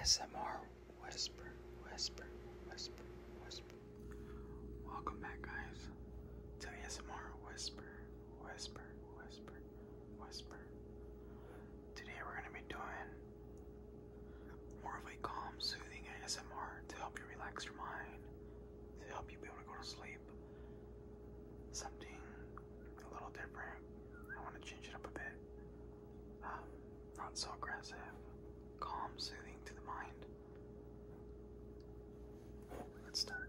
ASMR whisper, whisper, whisper, whisper. Welcome back, guys, to ASMR whisper, whisper, whisper, whisper. Today we're gonna be doing more of a calm, soothing ASMR to help you relax your mind, to help you be able to go to sleep. Something a little different. I want to change it up a bit. Um, not so aggressive, calm, soothing to the mind. Let's start.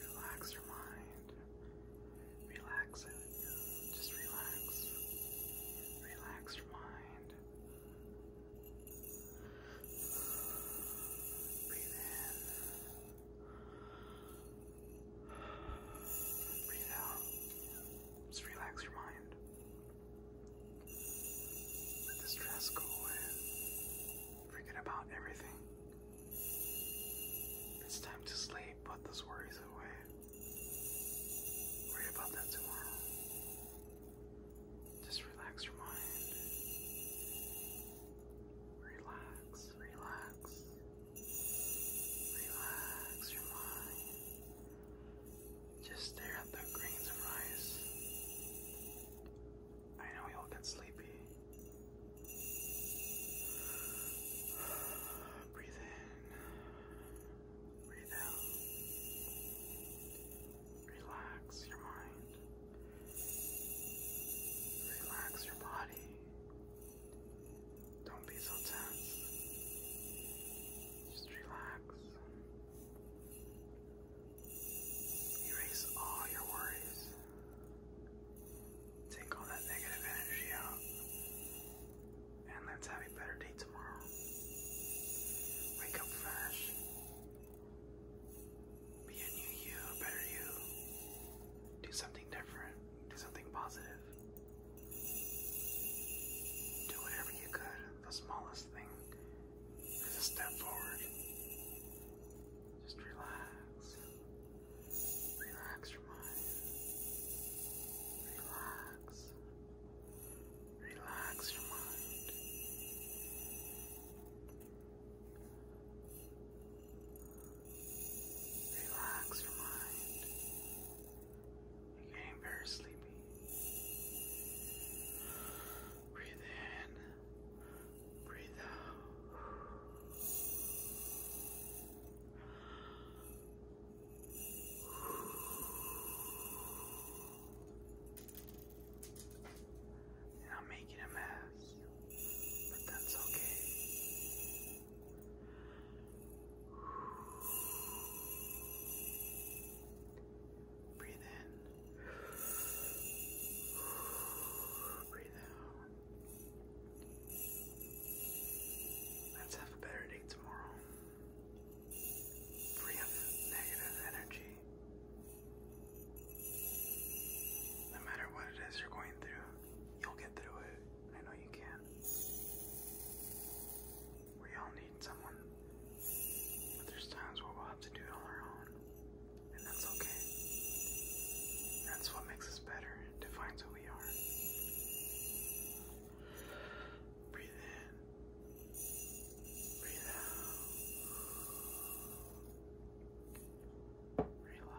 Relax your mind. Relax it. Just relax. Relax your mind. Breathe in. Breathe out. Just relax your mind. Let the stress go away. Forget about everything. It's time to sleep, put those worries away. Worry about that tomorrow. Just relax your mind. Relax, relax, Relax your mind. Just stare at the grains of rice. I know you'll get sleepy. Breathe in. Breathe out. Relax your mind. Relax your body. Don't be so tense. Just relax. Erase all your worries. Take all that negative energy out. And let's have a better day tomorrow. Wake up fresh. Be a new you, a better you. Do something different. Do something positive. Do whatever you could. The smallest thing is a step forward. Just relax. Relax your mind. Relax. Relax your mind. Relax your mind. You're getting very sleepy. Breathe in. Breathe out. I'm making a mess, but that's okay. Breathe in. Breathe out. Let's have a better day tomorrow. Free of negative energy. No matter what it is you're going through, You'll get through it. I know you can. We all need someone, but there's times where we'll have to do it on our own, and that's okay. That's what makes us better, defines who we are. Breathe in, breathe out, relax.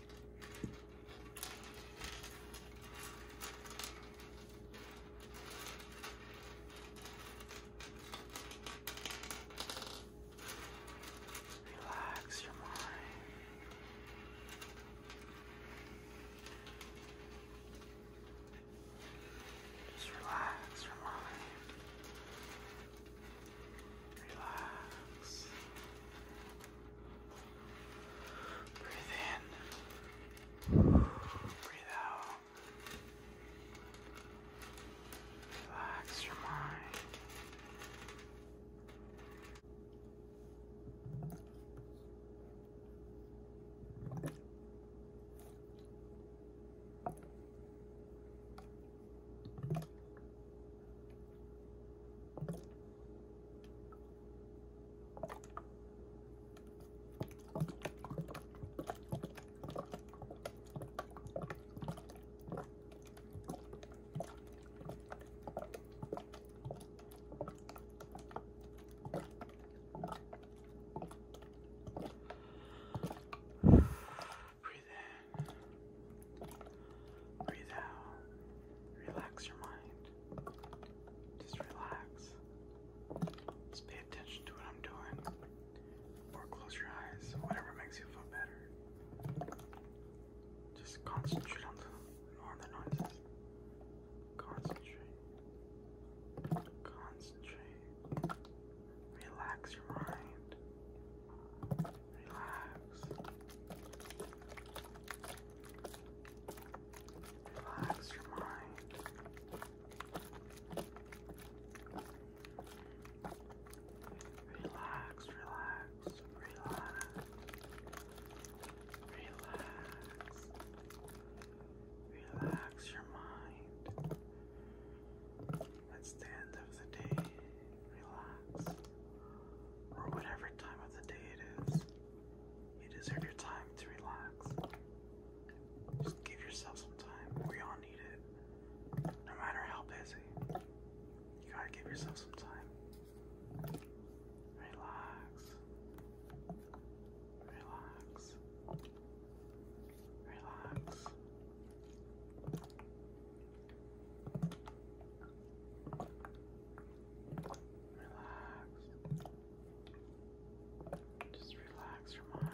Relax your mind. Just relax your mind. Relax. Breathe in. Breathe out. Relax your mind. Breathe in. Breathe out. Relax your mind. Just relax. Just pay attention to what I'm doing. Or close your eyes, whatever makes you feel better. Just concentrate on the, noises. Concentrate. Concentrate. Relax your mind. Relax. Relax your mind. Relax, relax, relax. Relax. Relax your mind. That's the end of the day. Relax. Or whatever time of the day it is. You deserve your time to relax. Just give yourself some time. We all need it. No matter how busy. You gotta give yourself some time. Relax. Relax. Relax. Relax. Just relax your mind. Relax.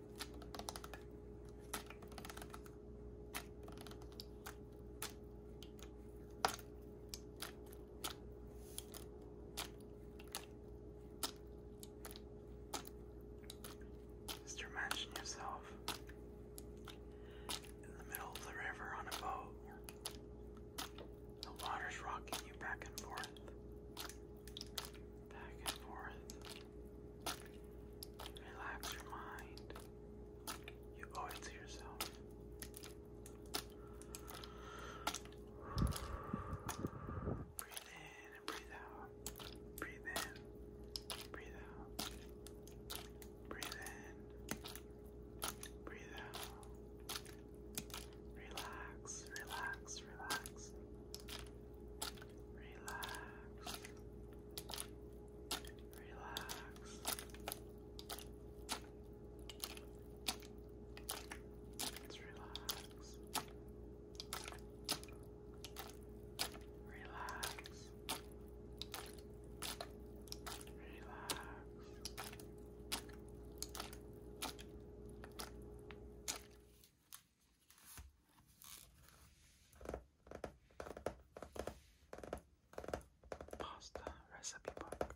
Just imagine yourself in the middle of the river on a boat. The water's rocking you back and forth, back and forth. Relax your mind. You owe it to yourself. Breathe in and breathe out. Breathe in, breathe out. Breathe in, breathe out. Relax, relax, relax. Relax. Relax. Let's relax. Relax. Relax. Pasta recipe book.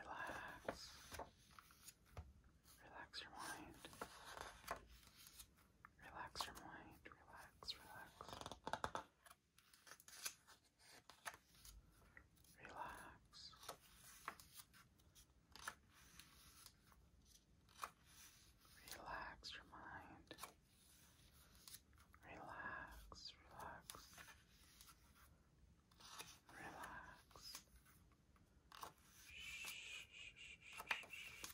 Relax. Relax your mind. Relax your mind. Relax, relax. Relax. Relax your mind. Relax, relax. Relax. Shh, shh, shh, shh,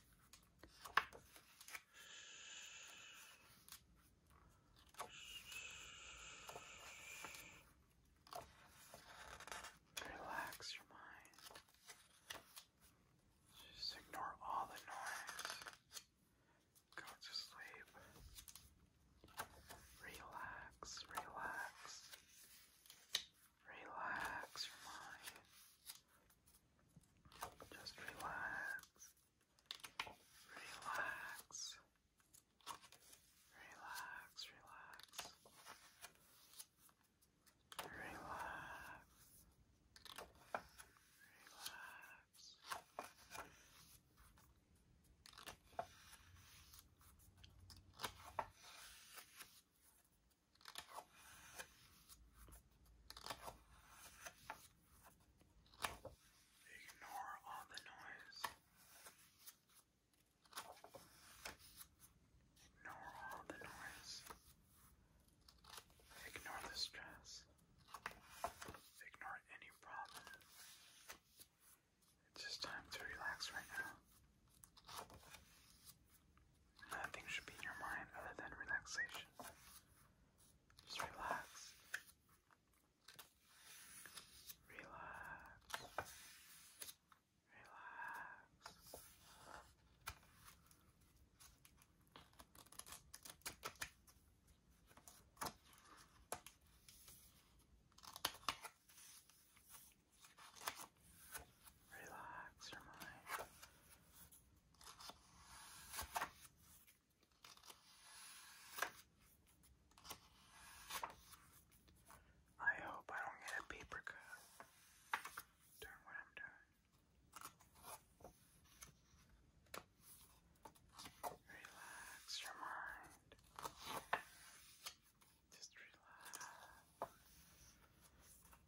Relax your mind. Just ignore all the noise. Go to sleep. Relax, relax. Relax your mind. Just relax. Relax. Relax, relax. Relax. Ignore all the noise. Ignore all the noise. Ignore the stress. Ignore any problem. It's just time to relax right now. Nothing should be in your mind other than relaxation. Just relax. Relax. Relax. Relax your mind. I hope I don't get a paper cut doing what I'm doing. Relax your mind. Just relax.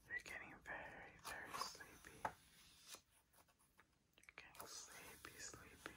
You're getting very, very sleepy. You're getting sleepy, sleepy.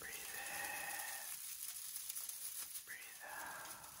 Breathe in. Breathe out. Breathe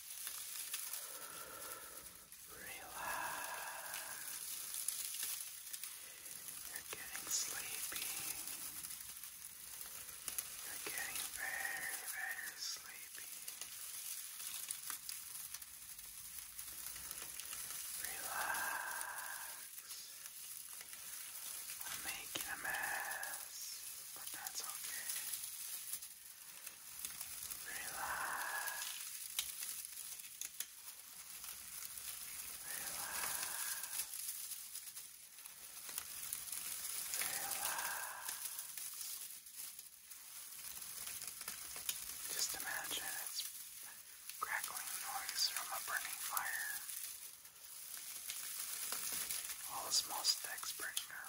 Relax. You're getting sleepy. You're getting very, very sleepy. Relax. I'm making a mess, but that's okay. Relax. Just imagine it's crackling noise from a burning fire. All the small sticks burning up.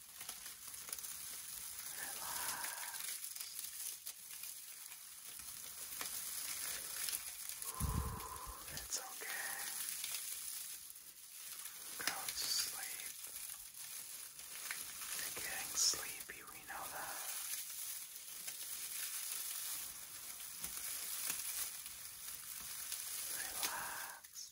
Relax. It's okay. Go to sleep. You're getting sleepy, we know that. Relax.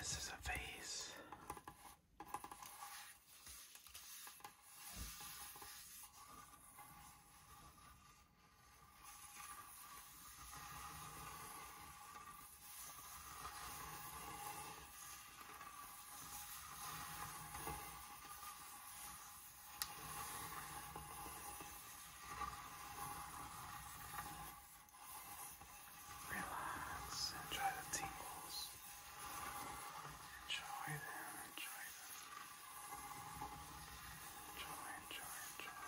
This is a vase. Relax, enjoy the tingles. Enjoy them, enjoy them. Enjoy, enjoy, enjoy.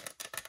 Relax.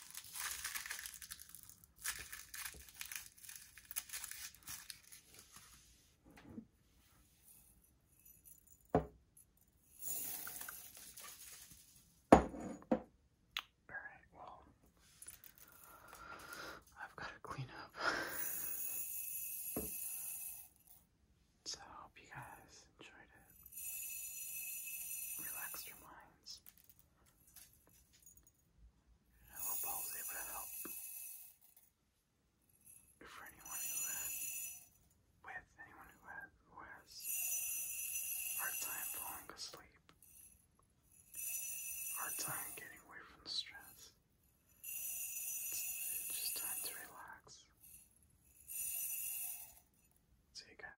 Alright, well, I've got to clean up. so I hope you guys enjoyed it. Relaxed your minds. I hope I was able to help. For anyone who has, with anyone who has, who has hard time falling asleep, hard time getting away from the stress, it's, just time to relax. See you